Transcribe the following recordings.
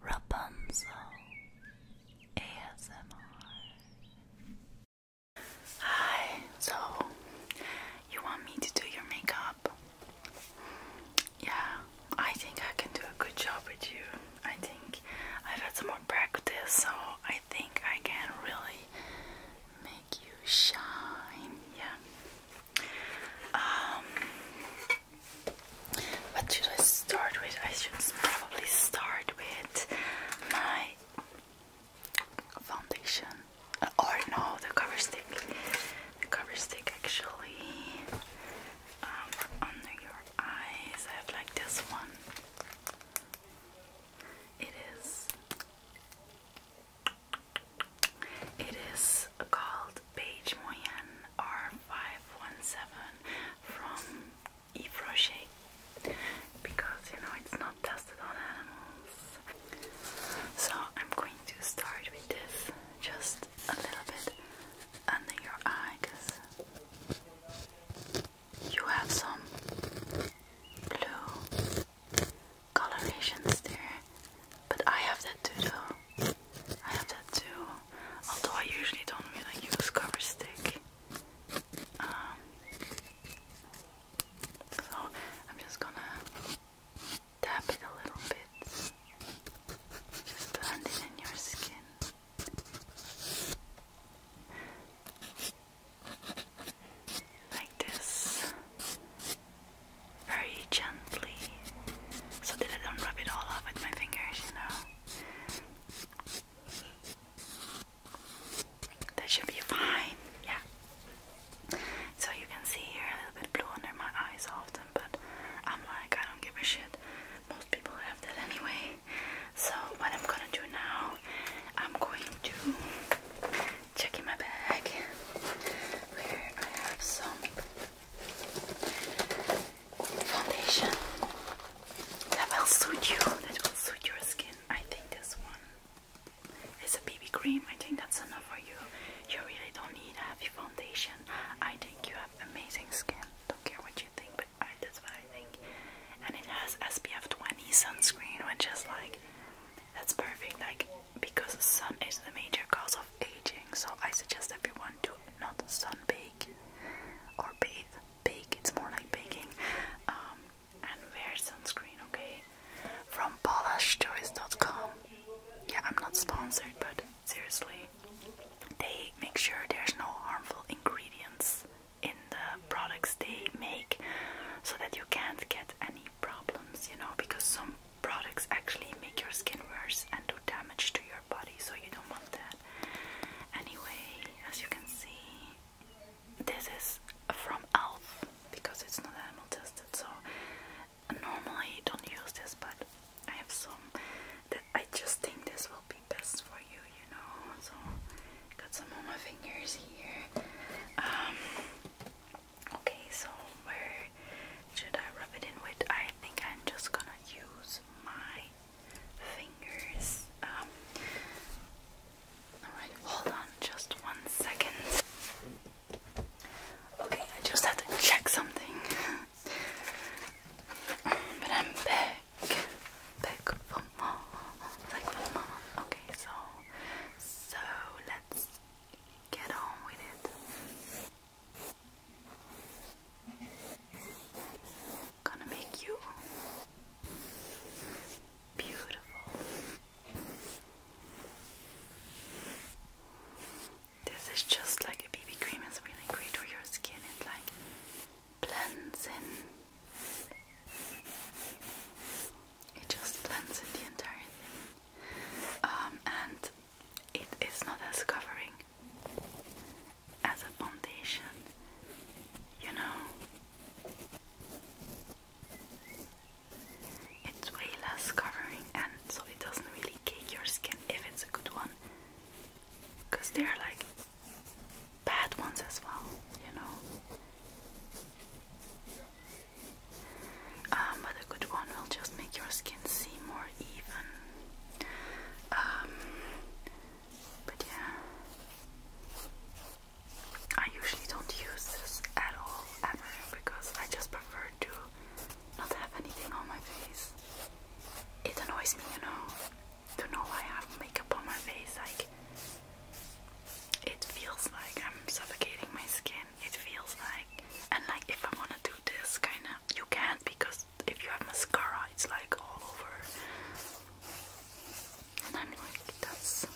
Rapunzel ASMR. Hi, so you want me to do your makeup? Yeah, I think I can do a good job with you. I think I've had some more practice, so I think I can really make you shine. Yeah. Um what should I start with? I should probably start with my foundation. Uh, or no, the cover stick. The cover stick actually. Um, under your eyes, I have like this one. It is. It is called Beige Moyenne R517 from Yves because you know it's not tested on animals. So I'm going to start with this just a little bit under your eye because you have some blue colorations there, but I have that too though. I have that too. Although I usually don't really use cover stick. Um, so I'm just gonna tap it a little bit. Just blend in your skin. Like this, very gently so that I don't rub it all off with my fingers, you know. That should be fine, yeah. So you can see here a little bit blue under my eyes often, but I'm like, I don't give a shit. Most people have that anyway. So what I'm gonna do now, I'm going to check in my bag where I have some foundation that will suit you, that will suit your skin. I think this one is a BB cream. I think that's enough for you. You really don't need a heavy foundation. I think you have amazing skin. Don't care what you think, but I, that's what I think. And it has SPF 20 sunscreen, which is like that's perfect. Like because the sun is the major cause of aging, so I suggest everyone to do not sunbake or bathe. Bake, it's more like baking. Um, and wear sunscreen, okay? From polishtoys.com. Yeah, I'm not sponsored, but seriously, they make sure there's no harmful ingredients in the products they make so that you can't get any problems, you know, because some products actually make your skin worse and damage to your body, so you don't want that. Anyway, as you can see, this is from Elf because it's not animal tested, so normally don't use this, but I have some that I just think this will be best for you, you know. So got some on my fingers here. Um, okay, so where should I rub it in with? I think I'm just gonna use my fingers. Um, Alright, hold on just one second. Okay, I just had to check something. but I'm back. Back for more. Back for more. Okay, so, so let's get on with it. Gonna make you beautiful. This is just like a BB cream, it's really great for your skin. It like blends in. It just blends in the entire thing. Um, and it is not as covering as a foundation, you know. It's way less covering, and so it doesn't really cake your skin if it's a good one. Because there are like bad ones as well, you know. Um, but a good one will just make your skin seem more even um, but yeah, I usually don't use this at all ever because I just prefer to not have anything on my face. It annoys me, you know, to know I have makeup on my face. Like it feels like I'm suffocating my skin. It feels like, and like if I wanna do this kind of, you can't because if you have mascara, it's like all over. And I'm like, that's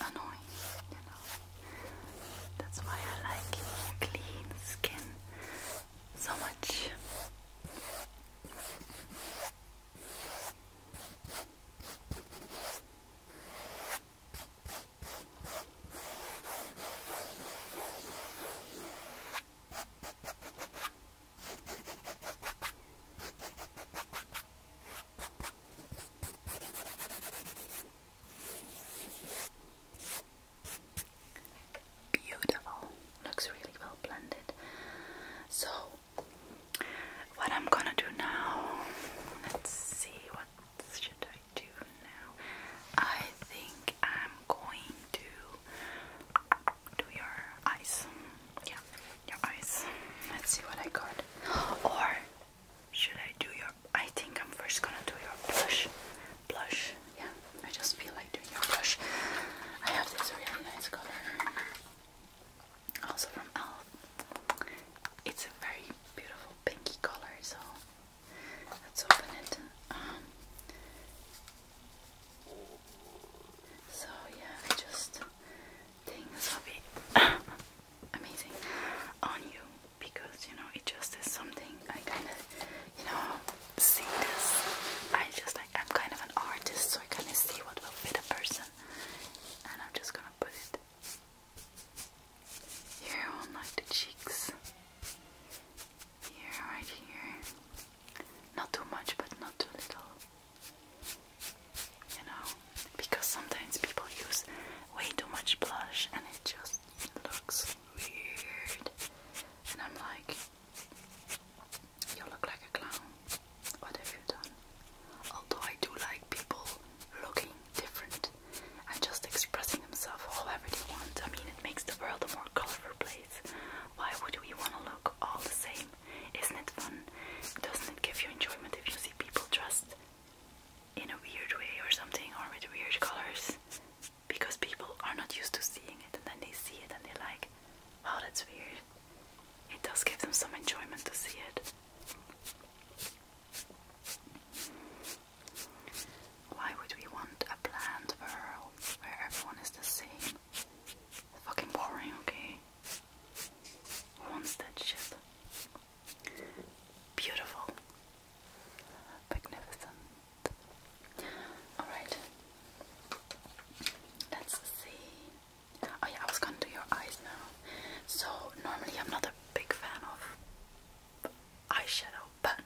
annoying, you know. That's why I like clean skin so much. Beautiful, looks really well blended. So, what I'm gonna do now, let's see what should I do now? I think I'm going to do your eyes. Yeah, your eyes. Let's see what I got. Or should I do your? I think I'm first gonna do your blush. Blush. Yeah, I just feel like doing your blush. I have this really nice color, also from Elf. It's a very beautiful pinky color, so Let's open it. Um, so yeah, I just think this will be amazing on you because you know it just is something I kind of you know see this. I just like I'm kind of an artist, so I kind of see what will fit a person, and I'm just gonna put it here on like the cheeks. Here, right here. Not too much, but not too little. You know, because sometimes people use way too much blush and it just looks weird. And I'm like, you look like a clown. What have you done? Although I do like people looking different and just expressing himself however they want. I mean, it makes the world a more colorful place. Why would we want to look all the same? Isn't it fun? Doesn't it give you enjoyment if you see people dressed in a weird way or something, or with weird colors? Because people are not used to seeing it, and then they see it and they're like, "Oh, that's weird." It does give them some enjoyment to see it. Why would we want a bland world where everyone is the same? fucking boring, okay? Who wants Beautiful. Magnificent. Alright. Let's see. Oh yeah, I was gonna do your eyes now. So normally I'm not a big fan of eyeshadow, but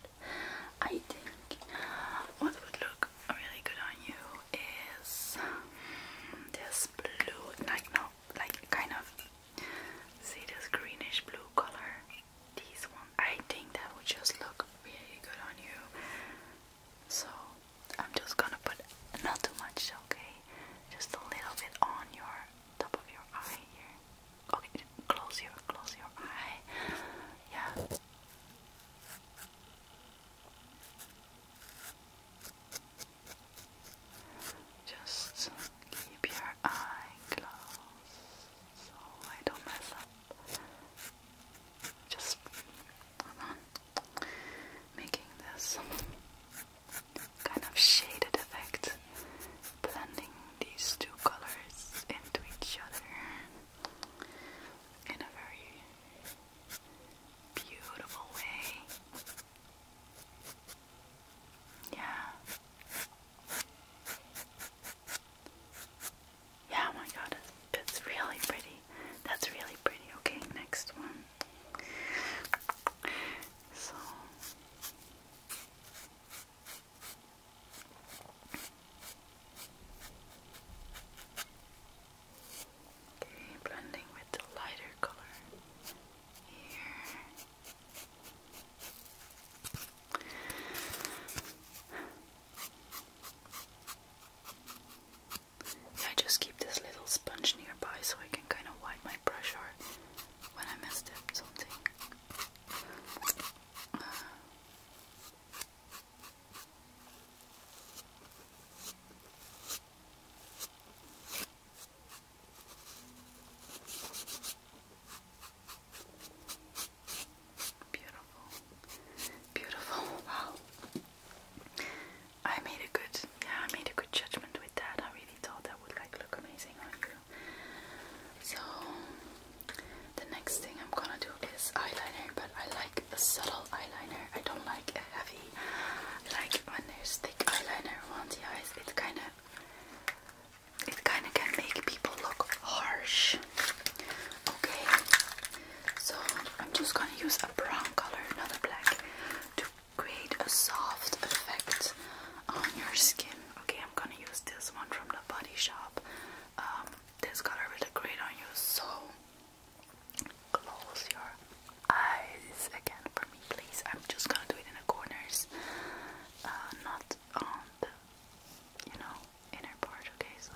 I think what would look really good on you is this blue, like no, like kind of see this greenish blue color. These one, I think that would just look really good on you. So I'm just gonna put not too much, okay? Just a little bit on your top of your eye here. Okay, close your close your eye. Yeah. Just keep your eye closed so I don't mess up. Just on. Making this kind of shaded effect blending these two colors into each other in a very beautiful way. Yeah. Yeah, oh my god, it's really pretty. That's really pretty. Okay, next one. So Okay, blending with the lighter color here. I just keep this little sponge nearby so I can kind of wipe my brush off when I mess up something beautiful, beautiful. Wow, I made a good, yeah, I made a good judgment with that. I really thought that would like look amazing on you. So the next thing I'm gonna do is eyeliner, but I like a subtle eyeliner. I don't like a heavy. like when there's thick eyeliner on the eyes. It kind of it kind of can make people look harsh. Okay, so I'm just gonna use a brown color, not a black, to create a soft effect on your skin. Okay, i am gonna use this one from the Body Shop. Um, this color really great on you, so close your eyes again for me, please. I'm just gonna do it in the corners, uh, not on the, you know, inner part. Okay, so.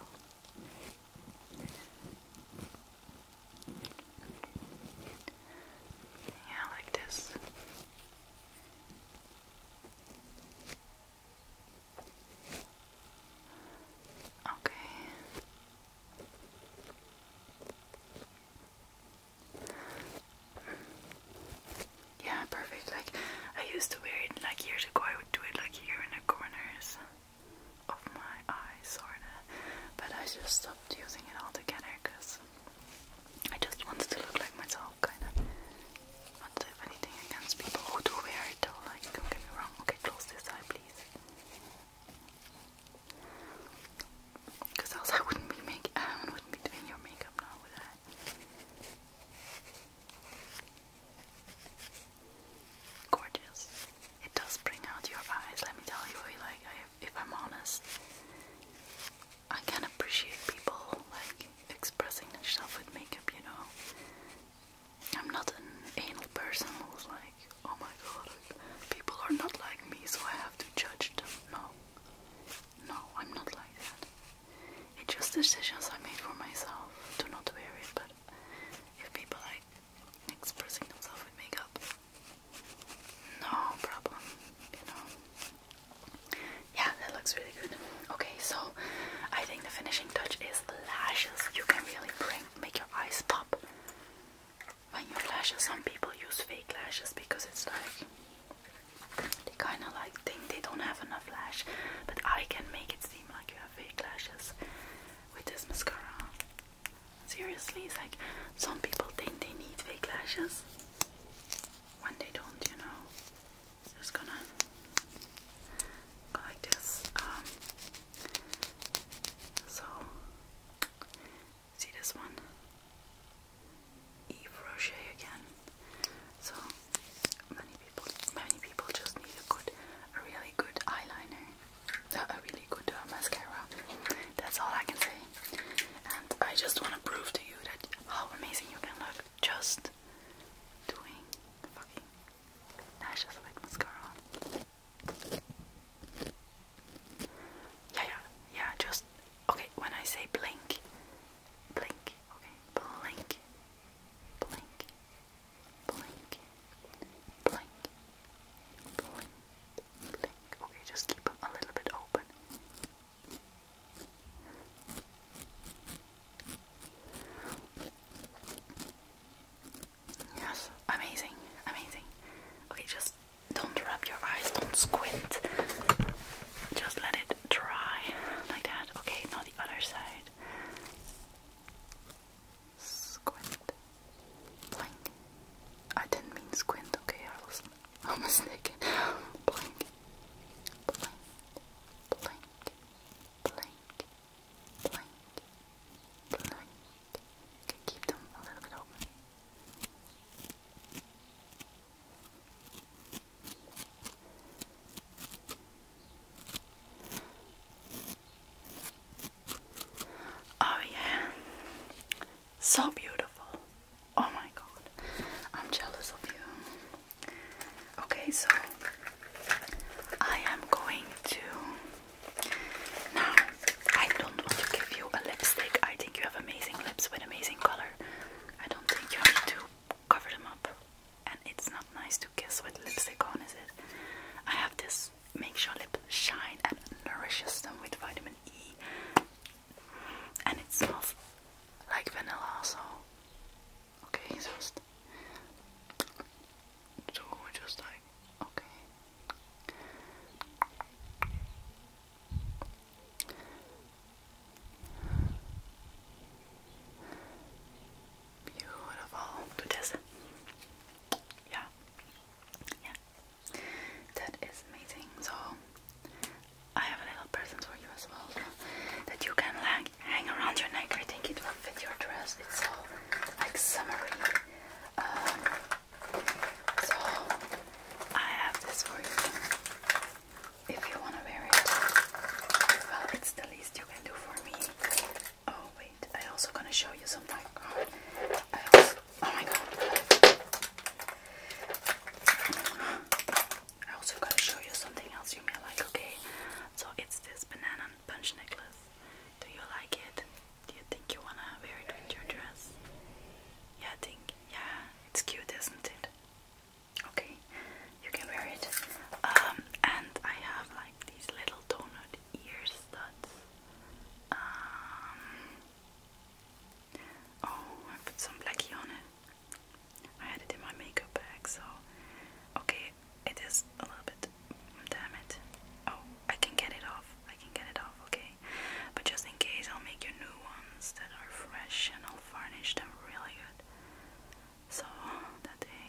Yeah, like this. Okay. Yeah, perfect. Like, I used to wear it like years ago, I would do it like here in the corners of my eyes, sorta. But I just stopped using it altogether because I just wanted to look like myself kind of not to anything against people who do wear it though, like don't get me wrong. Okay, close this eye please. Cause else I wouldn't be make I wouldn't be doing your makeup now would I? Gorgeous. It does bring out your eyes, let me tell you, like if I'm honest. I can appreciate people like expressing himself with makeup, you know. I'm not an anal person who's like, oh my god, people are not like me, so I have to judge them. No. No, I'm not like that. It's just decisions I made for myself to not wear it, but if people like expressing themselves with makeup, no problem, you know. Yeah, that looks really good. Okay, so I think the finishing touch is lashes. You can really bring make your eyes pop when you flash. Some people use fake lashes because it's like they kind of like think they don't have enough lash, but I can make it seem like you have fake lashes with this mascara. Seriously, it's like some people think they need fake lashes when they don't, you know just gonna go like this. Um, so, see this one? Eve Rocher again. So many people, many people just need a good, a really good eyeliner, a really good uh, mascara. That's all I can say. And I just want to prove to you that how amazing you can look just doing fucking lashes with mascara Yeah, yeah, yeah, just okay. When I say blink, blink, okay, blink, blink, blink, blink, blink, blink. Okay, just keep a little bit open. Yes, amazing, amazing. Okay, just don't rub your eyes, don't squint. Just let it dry like that. Okay, now the other side. Squint. Blink. I didn't mean squint, okay, I was almost naked. Blink, blink, blink, blink, blink, blink. Okay, keep them a little bit open. Oh, yeah, so beautiful. Oh my god, I'm jealous of you. Okay, so I am going to. Now, I don't want to give you a lipstick. I think you have amazing lips with amazing color. I don't think you need to cover them up. And it's not nice to kiss with lipstick on, is it? I have this. Makes your lips shine and nourishes them with vitamin E and it smells like vanilla so okay just so just like okay beautiful do this yeah yeah that is amazing so I have a little present for you as well that you can like hang around your neck. I think it will fit your dress. It's all like summery. Um, so I have this for you if you want to wear it. Well, it's the least you can do for me. Oh wait, I also gonna show you some oh my god. I also gotta show you something else you may like, okay? So it's this banana punch necklace. Do you like it? Do you think you wanna wear it with your dress? Yeah, I think, yeah, it's cute, isn't it? Okay, you can wear it. Um, and I have like these little donut ear studs. Um, oh, I put some blackie on it. I had it in my makeup bag, so okay, it is a little bit. Damn it! Oh, I can get it off. I can get it off. Okay, but just in case, I'll make you new ones that are fresh, and I'll varnish them really good, so that they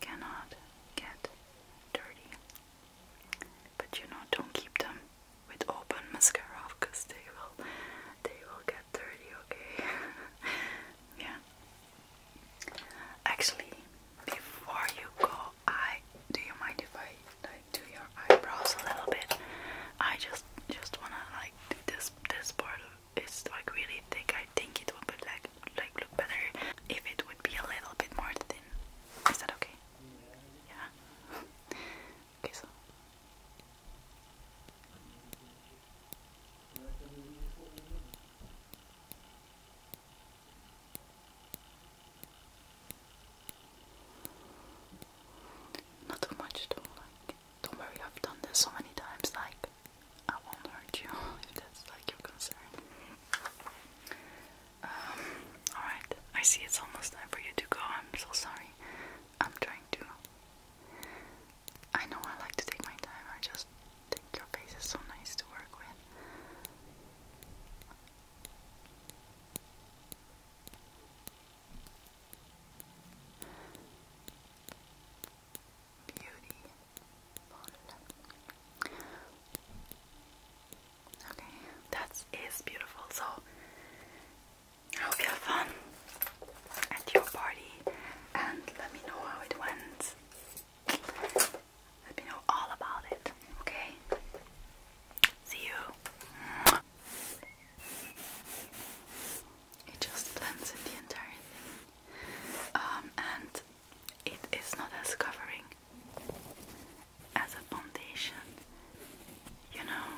cannot get dirty. But you know, don't keep them with open mascara because they will, they will get dirty pretty okay. yeah. Actually, before you go, I do you mind if I like do your eyebrows a little bit? I just just wanna like do this this part of it's like really thick. I think it would be like like look better if it would be a little bit more thin. Is that okay? Yeah. okay so not too much don't worry, I've done this so many times, like I won't hurt you if that's like your concern. Um, alright, I see it's almost time for you to go. I'm so sorry. I'm trying to I know I like to take my time, I just think your face is so nice to work with. Beauty. Okay, that is beautiful. So I hope you have fun at your party and let me know how it went. Let me know all about it, okay? See you. It just blends in the entire thing. Um, and it is not as covering as a foundation, you know.